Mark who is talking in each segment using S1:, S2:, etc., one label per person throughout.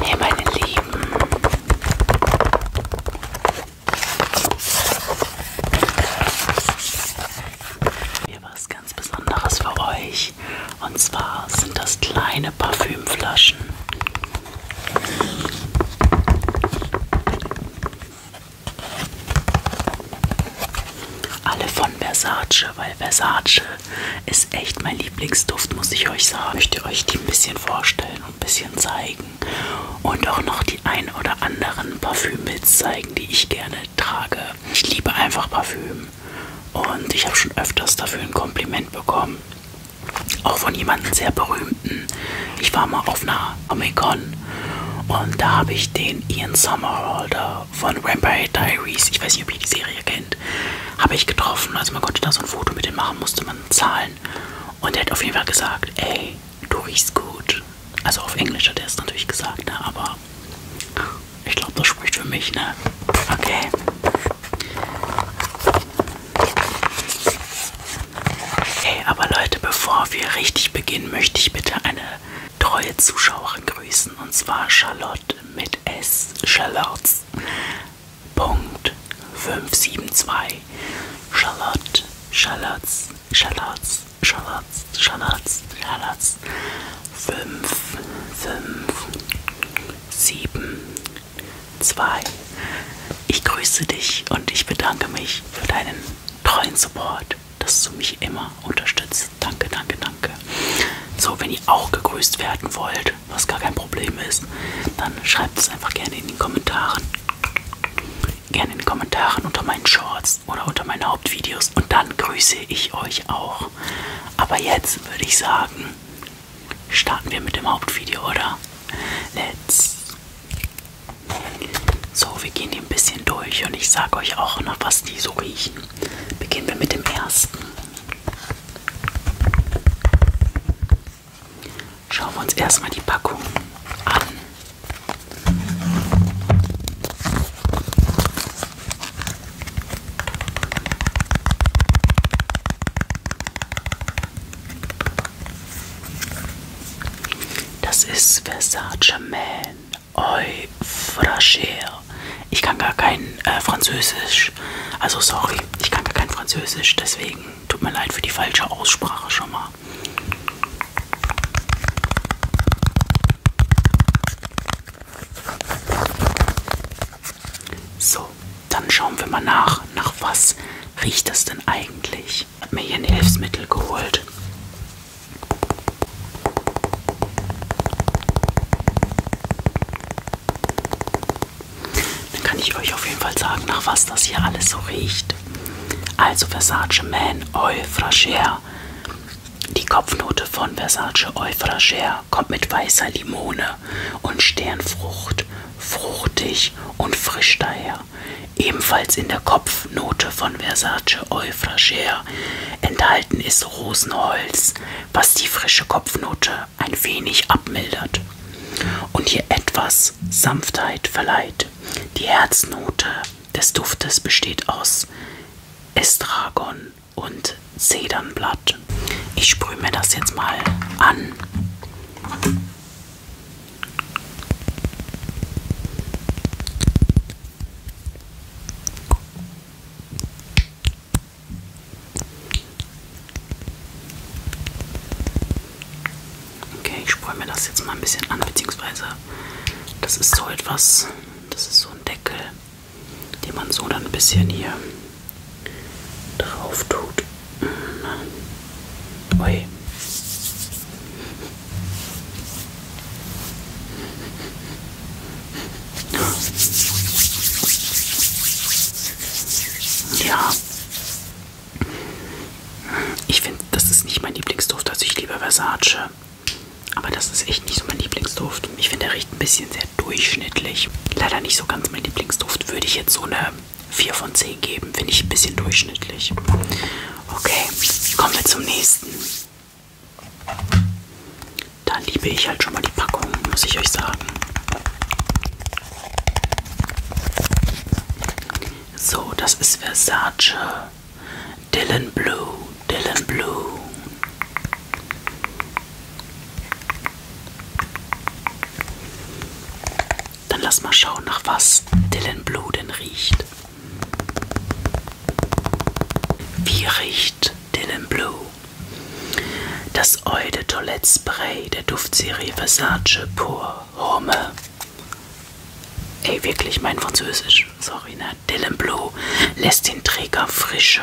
S1: Ja, meine Lieben, hier was ganz Besonderes für euch. Und zwar sind das kleine Parfümflaschen. Alle von Versace, weil Versace ist echt mein Lieblingsduft, muss ich euch sagen. Ich möchte euch die ein bisschen vorstellen und ein bisschen zeigen. Und auch noch die ein oder anderen Parfümmits zeigen, die ich gerne trage. Ich liebe einfach Parfüm. Und ich habe schon öfters dafür ein Kompliment bekommen. Auch von jemandem sehr berühmten. Ich war mal auf einer Comic-Con und da habe ich den Ian Somerhalder von Vampire Diaries, ich weiß nicht, ob ihr die Serie kennt, Endeffekt habe ich getroffen. Also man konnte da so ein Foto mit dem machen, musste man zahlen. Und er hat auf jeden Fall gesagt, ey, du riechst gut. Also auf Englisch hat er es natürlich gesagt, ne? aber ich glaube, das spricht für mich, ne? Okay. Hey, aber Leute, bevor wir richtig beginnen, möchte ich bitte eine treue Zuschauerin grüßen. Und zwar Charlotte mit S. Charlotte. 572 Charlotte, Charlottes, Charlottes, Charlottes, Charlottes, Charlottes 5, 5, 7, 2. Ich grüße dich und ich bedanke mich für deinen treuen Support, dass du mich immer unterstützt. Danke, danke, danke. So, wenn ihr auch gegrüßt werden wollt, was gar kein Problem ist, dann schreibt es einfach gerne in den Kommentaren. Gerne in den Kommentaren unter meinen Shorts oder unter meinen Hauptvideos. Und dann grüße ich euch auch. Aber jetzt würde ich sagen, starten wir mit dem Hauptvideo, oder? Let's. So, wir gehen die ein bisschen durch und ich sage euch auch noch, was die so riechen. Beginnen wir mit dem ersten. Schauen wir uns erstmal die Packung an. Das ist Versace Man Eau Fragile ich kann gar kein äh, Französisch. Also sorry, ich kann gar kein Französisch. Deswegen tut mir leid für die falsche Aussprache schon mal. So, dann schauen wir mal nach. Nach was riecht das denn eigentlich? Ich habe mir hier ein Hilfsmittel geholt. Dann kann ich euch auf jeden Fall sagen, nach was das hier alles so riecht. Also Versace Man Eau Fraicheur. Die Kopfnote von Versace Eau Fraicheur kommt mit weißer Limone und Sternfrucht, fruchtig und frisch daher. Ebenfalls in der Kopfnote von Versace Eau Fraicheur enthalten ist Rosenholz, was die frische Kopfnote ein wenig abmildert und ihr etwas Sanftheit verleiht. Die Herznote des Duftes besteht aus Estragon und Zedernblatt. Ich sprühe mir das jetzt mal an. Okay, ich sprühe mir das jetzt mal ein bisschen an, beziehungsweise das ist so etwas, das ist so ein Deckel, den man so dann ein bisschen hier drauf tut. Mhm. Ui. Ja. Ich finde, das ist nicht mein Lieblingsduft. Also ich liebe Versace. Aber das ist echt nicht so mein Lieblingsduft. Ich finde, der riecht ein bisschen sehr durchschnittlich. Leider nicht so ganz mein Lieblingsduft. Würde ich jetzt so eine 4 von 10 geben. Finde ich ein bisschen durchschnittlich. Okay, kommen wir zum nächsten. Da liebe ich halt schon mal die Packung, muss ich euch sagen. So, das ist Versace Dylan Blue, Dylan Blue. Dann lass mal schauen, nach was Dylan Blue denn riecht. Wie riecht Dylan Blue? Das Eau de Toilette Spray der Duftserie Versace Pour Homme. Ey, wirklich mein Französisch, sorry, ne? Dylan Blue lässt den Träger frische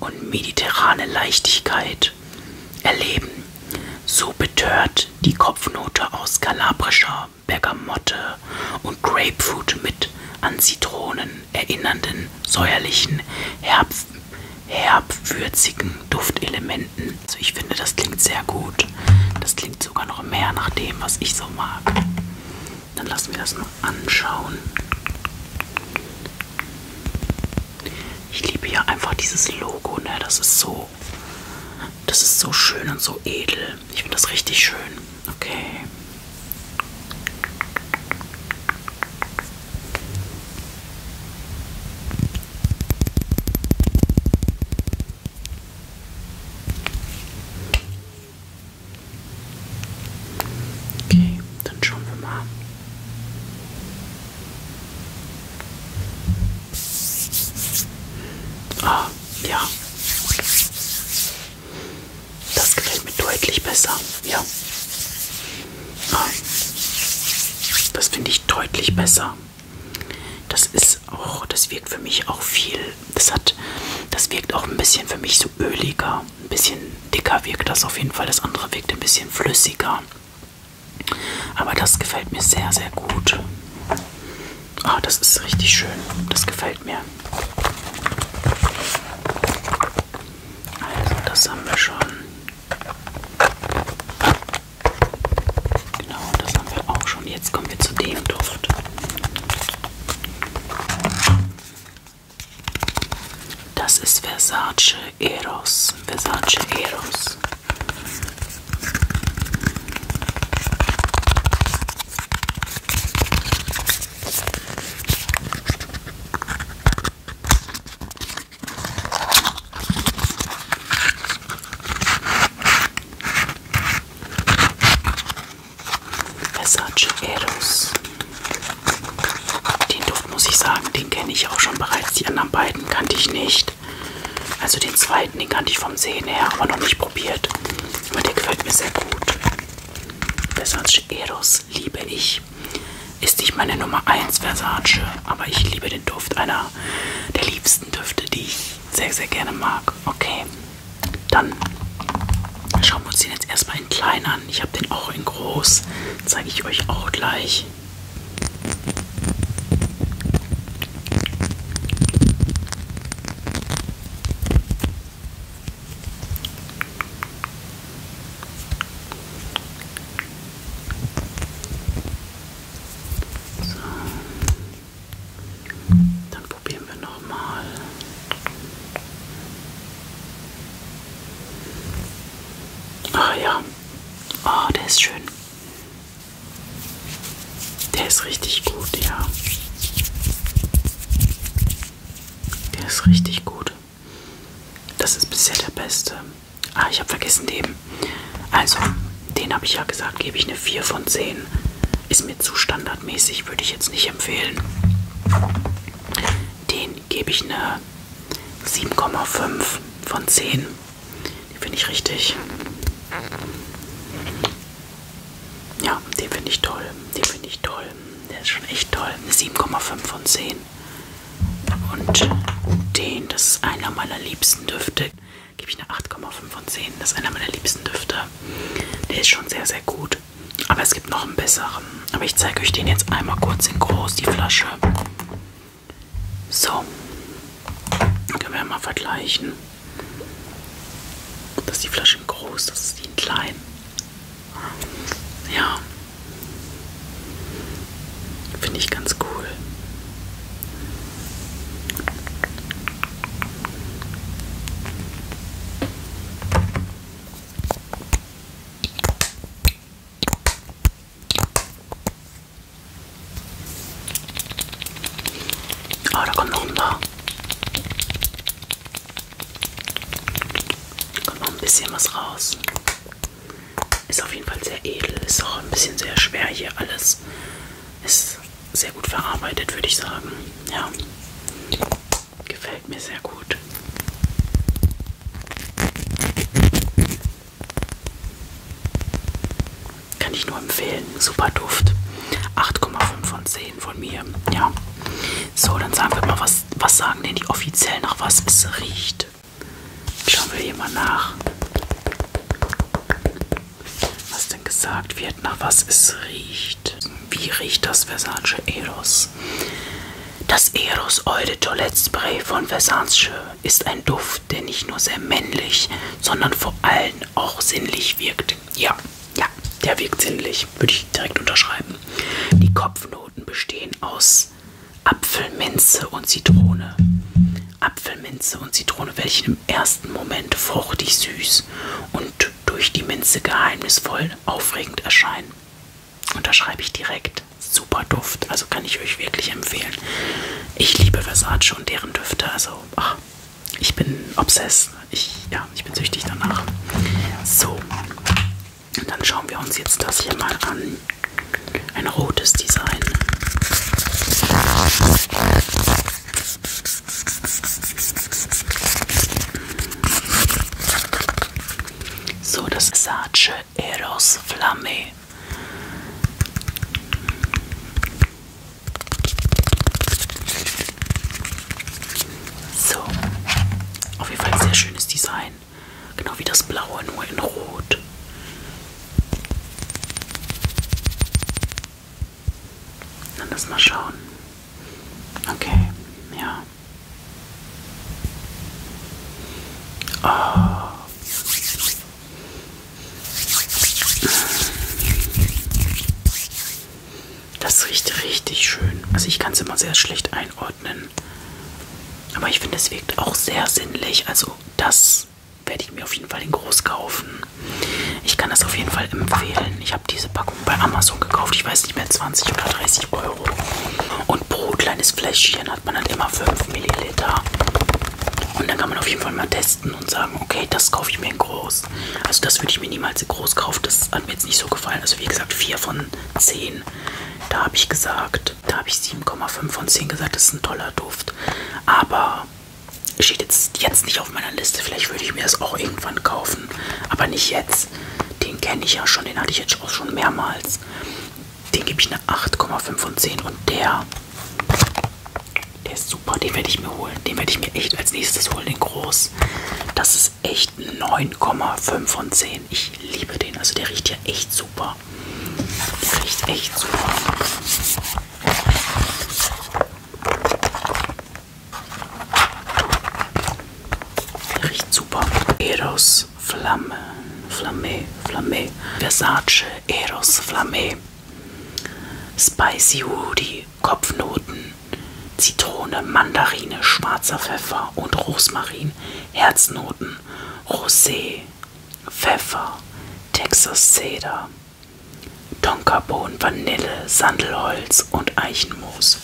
S1: und mediterrane Leichtigkeit erleben. So betört die Kopfnote aus kalabrischer Bergamotte und Grapefruit mit an Zitronen erinnernden säuerlichen Herbst herb würzigen Duftelementen. Also ich finde, das klingt sehr gut. Das klingt sogar noch mehr nach dem, was ich so mag. Dann lassen wir das mal anschauen. Ich liebe ja einfach dieses Logo, ne? Das ist so, das ist so schön und so edel. Ich finde das richtig schön. Okay. Okay, dann schauen wir mal. Ah, ja. Das gefällt mir deutlich besser. Ja. Das finde ich deutlich besser. Das ist auch, das wirkt für mich auch viel. Das hat, das wirkt auch ein bisschen für mich so öliger. Ein bisschen dicker wirkt das auf jeden Fall. Das andere wirkt ein bisschen flüssiger. Aber das gefällt mir sehr, sehr gut. Ah, das ist richtig schön. Das gefällt mir. Also das haben wir schon. Genau, das haben wir auch schon. Jetzt kommen wir zu dem Duft. Das ist Versace Eros. Versace Eros. Versace Eros. Den Duft muss ich sagen, den kenne ich auch schon bereits. Die anderen beiden kannte ich nicht. Also den zweiten, den kannte ich vom Sehen her, aber noch nicht probiert. Aber der gefällt mir sehr gut. Versace Eros liebe ich. Ist nicht meine Nummer 1 Versace, aber ich liebe den Duft. Einer der liebsten Düfte, die ich sehr, sehr gerne mag. Okay, dann schauen wir uns den jetzt erstmal in klein an. Ich habe den auch in groß. Zeige ich euch auch gleich. So. Dann probieren wir nochmal. Ah ja. Oh, der ist schön. Der ist richtig gut, ja. Der ist richtig gut. Das ist bisher der beste. Ah, ich habe vergessen den. Also, den habe ich ja gesagt, gebe ich eine 4 von 10. Ist mir zu standardmäßig, würde ich jetzt nicht empfehlen. Den gebe ich eine 7,5 von 10. Den finde ich richtig. Ja, den finde ich toll. Den finde ich toll. Der ist schon echt toll. Eine 7,5 von 10 den. Und den, das ist einer meiner liebsten Düfte. Gebe ich eine 8,5 von 10. Das ist einer meiner liebsten Düfte. Der ist schon sehr, sehr gut. Aber es gibt noch einen besseren. Aber ich zeige euch den jetzt einmal kurz in groß, die Flasche. So. Können wir mal vergleichen. Das ist die Flasche in groß, das ist die in klein. Ja. Finde ich ganz cool. Ah, oh, da kommt noch ein paar. Kommt noch ein bisschen was raus. Ist auf jeden Fall sehr edel. Ist auch ein bisschen sehr schwer hier alles. Ist sehr gut verarbeitet, würde ich sagen. Ja. Gefällt mir sehr gut. Kann ich nur empfehlen. Super Duft. 8,5 von 10 von mir. Ja. So, dann sagen wir mal was was, was sagen denn die offiziell nach was es riecht? Schauen wir hier mal nach. Was denn gesagt wird, nach was es riecht. Wie riecht das Versace Eros? Das Eros Eau de Toilette Spray von Versace ist ein Duft, der nicht nur sehr männlich, sondern vor allem auch sinnlich wirkt. Ja, ja, der wirkt sinnlich, würde ich direkt unterschreiben. Die Kopfnote Minuten bestehen aus Apfelminze und Zitrone. Apfelminze und Zitrone, welche im ersten Moment fruchtig süß und durch die Minze geheimnisvoll aufregend erscheinen. Und da schreibe ich direkt. Super Duft, also kann ich euch wirklich empfehlen. Ich liebe Versace und deren Düfte, also ach, ich bin obsessed. Ich, ja, ich bin süchtig danach. So, dann schauen wir uns jetzt das hier mal an. Ein rotes Design. So, das Sace Eros Flamme. So, auf jeden Fall ein sehr schönes Design. Genau wie das blaue, nur in Rot. Dann lass mal schauen. Okay, ja. Oh. Das riecht richtig schön. Also ich kann es immer sehr schlecht einordnen einordnen. Aber ich finde, es wirkt auch sehr sinnlich. Also das werde ich mir auf jeden Fall in groß kaufen. Ich kann das auf jeden Fall empfehlen. Ich habe diese Packung bei Amazon gekauft. Ich weiß nicht mehr, 20 oder 30 Euro. Und pro kleines Fläschchen hat man halt immer 5 Milliliter. Und dann kann man auf jeden Fall mal testen und sagen, okay, das kaufe ich mir in groß. Also das würde ich mir niemals in groß kaufen. Das hat mir jetzt nicht so gefallen. Also wie gesagt, 4 von 10. 10. Da habe ich gesagt, da habe ich 7,5 von 10 gesagt, das ist ein toller Duft. Aber steht jetzt, jetzt nicht auf meiner Liste. Vielleicht würde ich mir das auch irgendwann kaufen. Aber nicht jetzt. Den kenne ich ja schon, den hatte ich jetzt auch schon mehrmals. Den gebe ich eine 8,5 von 10 und der, der ist super, den werde ich mir holen. Den werde ich mir echt als nächstes holen, den groß. Das ist ist echt 9,5 von 10. Ich liebe den. Also der riecht ja echt super. Der riecht echt super. Der riecht super. Eros Flamme. Flamme. Flamme. Versace Eros Flamme. Spicy Woody. Kopfnoten. Zitrone, Mandarine, schwarzer Pfeffer und Rosmarin, Herznoten, Rosé, Pfeffer, Texas Cedar, Tonkabohnen, Vanille, Sandelholz und Eichenmoos.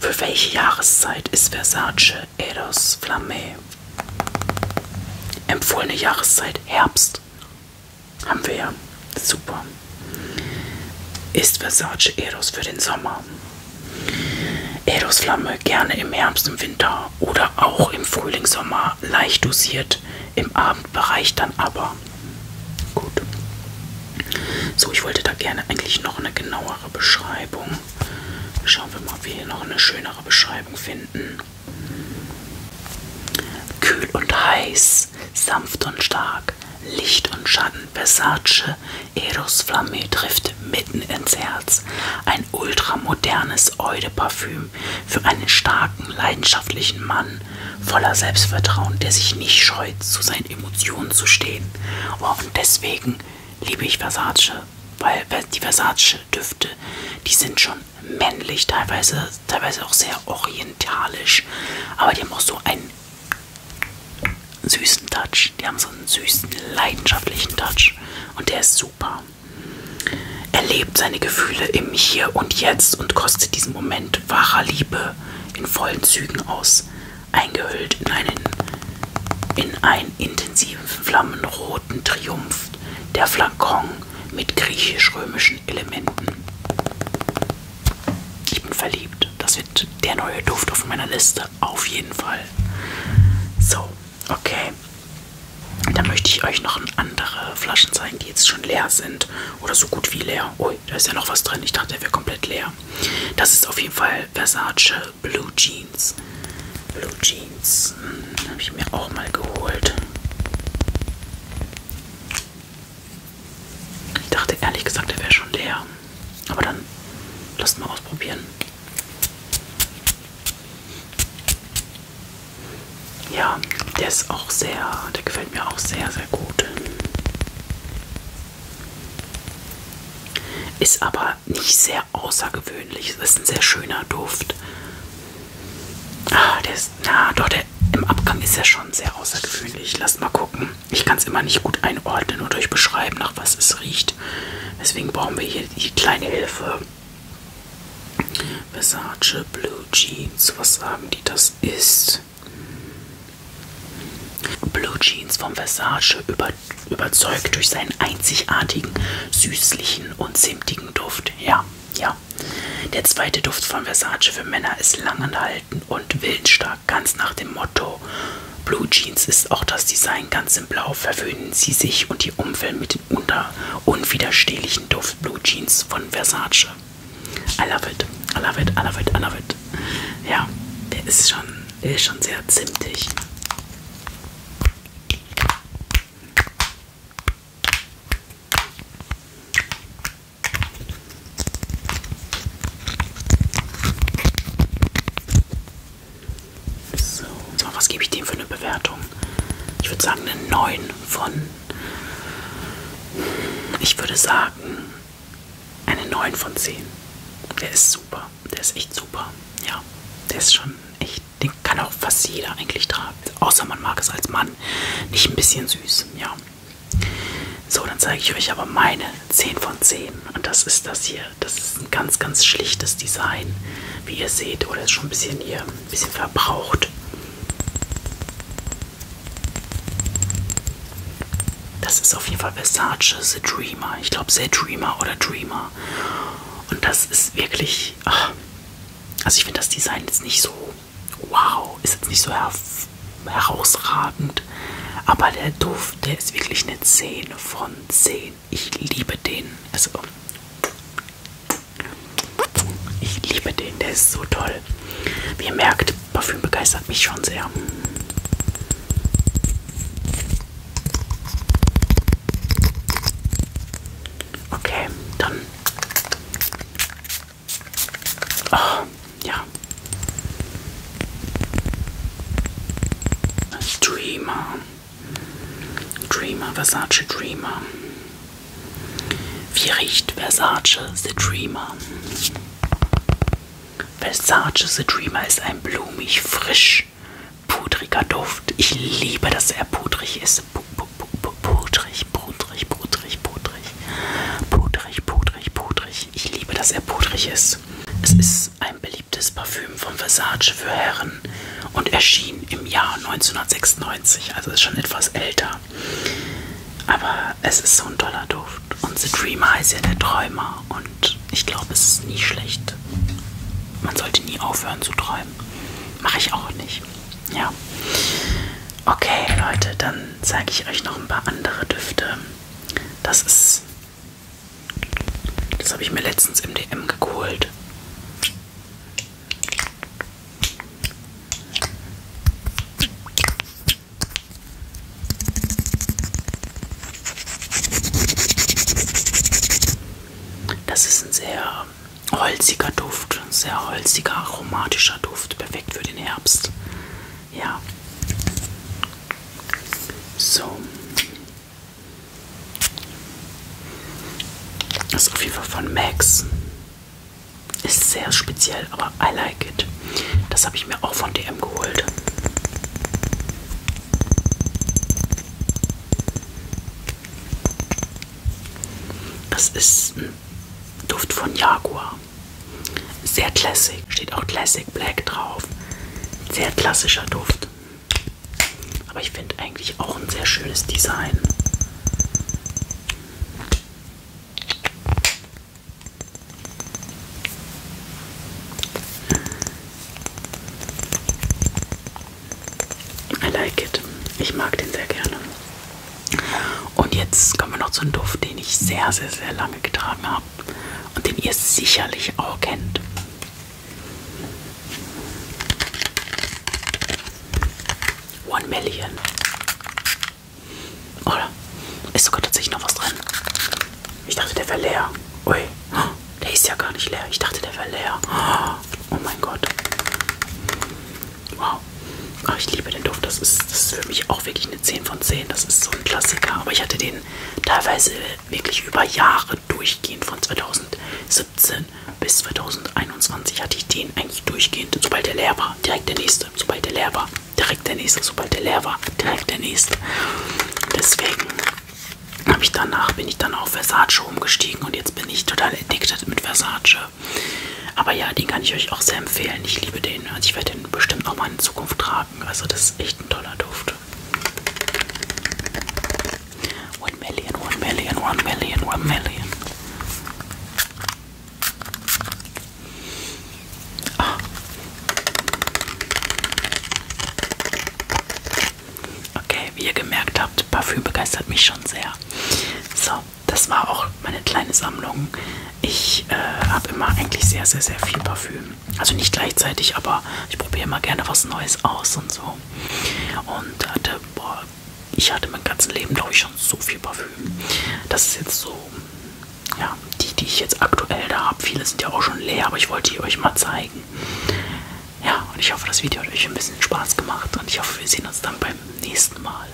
S1: Für welche Jahreszeit ist Versace Eros Flamme? Empfohlene Jahreszeit Herbst. Haben wir ja. Super. Ist Versace Eros für den Sommer? Erosflamme gerne im Herbst, im Winter oder auch im Frühling, Sommer leicht dosiert, im Abendbereich dann aber. Gut. So, ich wollte da gerne eigentlich noch eine genauere Beschreibung. Schauen wir mal, ob wir hier noch eine schönere Beschreibung finden. Kühl und heiß, sanft und stark, Licht und Schatten Versace Eros Flamme trifft mitten ins Herz. Ein ultramodernes Eau-de-Parfüm für einen starken, leidenschaftlichen Mann voller Selbstvertrauen, der sich nicht scheut, zu seinen Emotionen zu stehen. Oh, und deswegen liebe ich Versace, weil die Versace-Düfte, die sind schon männlich, teilweise, teilweise auch sehr orientalisch, aber die haben auch so einen süßen Touch. Die haben so einen süßen, leidenschaftlichen Touch. Und der ist super. Er lebt seine Gefühle im Hier und Jetzt und kostet diesen Moment wahrer Liebe in vollen Zügen aus. Eingehüllt in einen, in einen intensiven, flammenroten Triumph der Flakon mit griechisch-römischen Elementen. Ich bin verliebt. Das wird der neue Duft auf meiner Liste. Seite auf jeden Fall. So, okay. Dann möchte ich euch noch andere Flaschen zeigen, die jetzt schon leer sind. Oder so gut wie leer. Ui, da ist ja noch was drin. Ich dachte, der wäre komplett leer. Das ist auf jeden Fall Versace Blue Jeans. Blue Jeans. Hm, Habe ich mir auch mal geholt. Ich dachte ehrlich gesagt, der wäre schon leer. Aber dann lasst mal ausprobieren. Ja, der ist auch sehr, der gefällt mir auch sehr, sehr gut. Ist aber nicht sehr außergewöhnlich. Das ist ein sehr schöner Duft. Ah, der ist, na doch, der im Abgang ist ja schon sehr außergewöhnlich. Lasst mal gucken. Ich kann es immer nicht gut einordnen oder euch beschreiben, nach was es riecht. Deswegen brauchen wir hier die kleine Hilfe. Versace Blue Jeans. Was sagen die, das ist? Blue Jeans von Versace über, überzeugt durch seinen einzigartigen, süßlichen und zimtigen Duft. Ja, ja. Der zweite Duft von Versace für Männer ist langanhaltend und willensstark ja ganz nach dem Motto Blue Jeans ist auch das Design ganz in Blau. Verwöhnen Sie sich und die Umwelt mit dem unwiderstehlichen Duft Blue Jeans von Versace. I love it, I love it, I love it, I love it. Ja, der ist schon, der ist schon sehr zimtig. So, so was gebe ich dem für eine Bewertung? Ich würde sagen eine 9 von... Ich würde sagen eine 9 von 10. Der ist super. Der ist echt super. Ja, der ist schon echt... Den kann auch fast jeder eigentlich tragen. Außer man mag es als Mann. Nicht ein bisschen süß, ja. So, dann zeige ich euch aber meine 10 von 10. Und das ist das hier. Das ist ein ganz, ganz schlichtes Design. Wie ihr seht, oder ist schon ein bisschen hier, ein bisschen verbraucht. Das ist auf jeden Fall Versace The Dreamer. Ich glaube, The Dreamer oder Dreamer. Und das ist wirklich... Ach, also ich finde das Design jetzt nicht so... Wow, ist jetzt nicht so hervorragend herausragend. Aber der Duft, der ist wirklich eine 10 von 10. Ich liebe den. Also, ich liebe den, der ist so toll. Wie ihr merkt, Parfüm begeistert mich schon sehr. Okay, dann. Oh, ja. Dreamer. Dreamer, Versace Dreamer. Wie riecht Versace The Dreamer? Versace The Dreamer ist ein blumig, frisch, pudriger Duft. Ich liebe, dass er pudrig ist. P -p -p -p pudrig, pudrig, pudrig, pudrig. Pudrig, pudrig, pudrig pudrig. Ich liebe, dass er pudrig ist. Es ist ein beliebtes Parfüm von Versace für Herren und erschien im Jahr 1996, also ist schon etwas älter. Aber es ist so ein toller Duft. Und The Dreamer heißt ja der Träumer. Und ich glaube, es ist nie schlecht. Man sollte nie aufhören zu träumen. Mache ich auch nicht. Ja. Okay, Leute, dann zeige ich euch noch ein paar andere Düfte. Das ist. Das habe ich mir letztens im DM geholt. Das ist ein sehr holziger Duft, sehr holziger, aromatischer Duft, perfekt für den Herbst. Ja, so. Das ist auf jeden Fall von Max. Ist sehr speziell, aber I like it. Das habe ich mir auch von DM geholt. Das ist ein Duft von Jaguar. Silber. Sehr classic. Steht auch Classic Black drauf. Sehr klassischer Duft. Aber ich finde eigentlich auch ein sehr schönes Design. I like it. Ich mag den sehr gerne. Und jetzt kommen wir noch zu einem Duft, den ich sehr, sehr, sehr lange getragen habe und den ihr sicherlich auch kennt. One Million. Oder? Ist sogar tatsächlich noch was drin. Ich dachte, der wäre leer. Ui. Der ist ja gar nicht leer. Ich dachte, der wäre leer. Oh mein Gott. Wow. Oh, ich liebe den Duft. Das ist, das ist für mich auch wirklich 10 von 10. Das ist so ein Klassiker. Aber ich hatte den teilweise wirklich über Jahre durchgehend. Von 2017 bis 2021 hatte ich den eigentlich durchgehend. Sobald der leer war, direkt der nächste. Sobald der leer war, direkt der nächste. Sobald der leer war, direkt der nächste. Deswegen habe ich danach, bin ich dann auf Versace umgestiegen und jetzt bin ich total addicted mit Versace. Aber ja, den kann ich euch auch sehr empfehlen. Ich liebe den. Also ich werde den bestimmt auch mal in Zukunft tragen schwanken. Also das ist echt ein toller Duft. One million, one million, one million, one million. Ah. Okay, wie ihr gemerkt habt, Parfüm begeistert mich schon sehr. So, das war auch meine kleine Sammlung ich äh, habe immer eigentlich sehr, sehr, sehr viel Parfüm. Also nicht gleichzeitig, aber ich probiere immer gerne was Neues aus und so. Und hatte, boah, ich hatte mein ganzes Leben, glaube ich, schon so viel Parfüm. Das ist jetzt so, ja, die, die ich jetzt aktuell da habe. Viele sind ja auch schon leer, aber ich wollte die euch mal zeigen. Ja, und ich hoffe, das Video hat euch ein bisschen Spaß gemacht und ich hoffe, wir sehen uns dann beim nächsten Mal.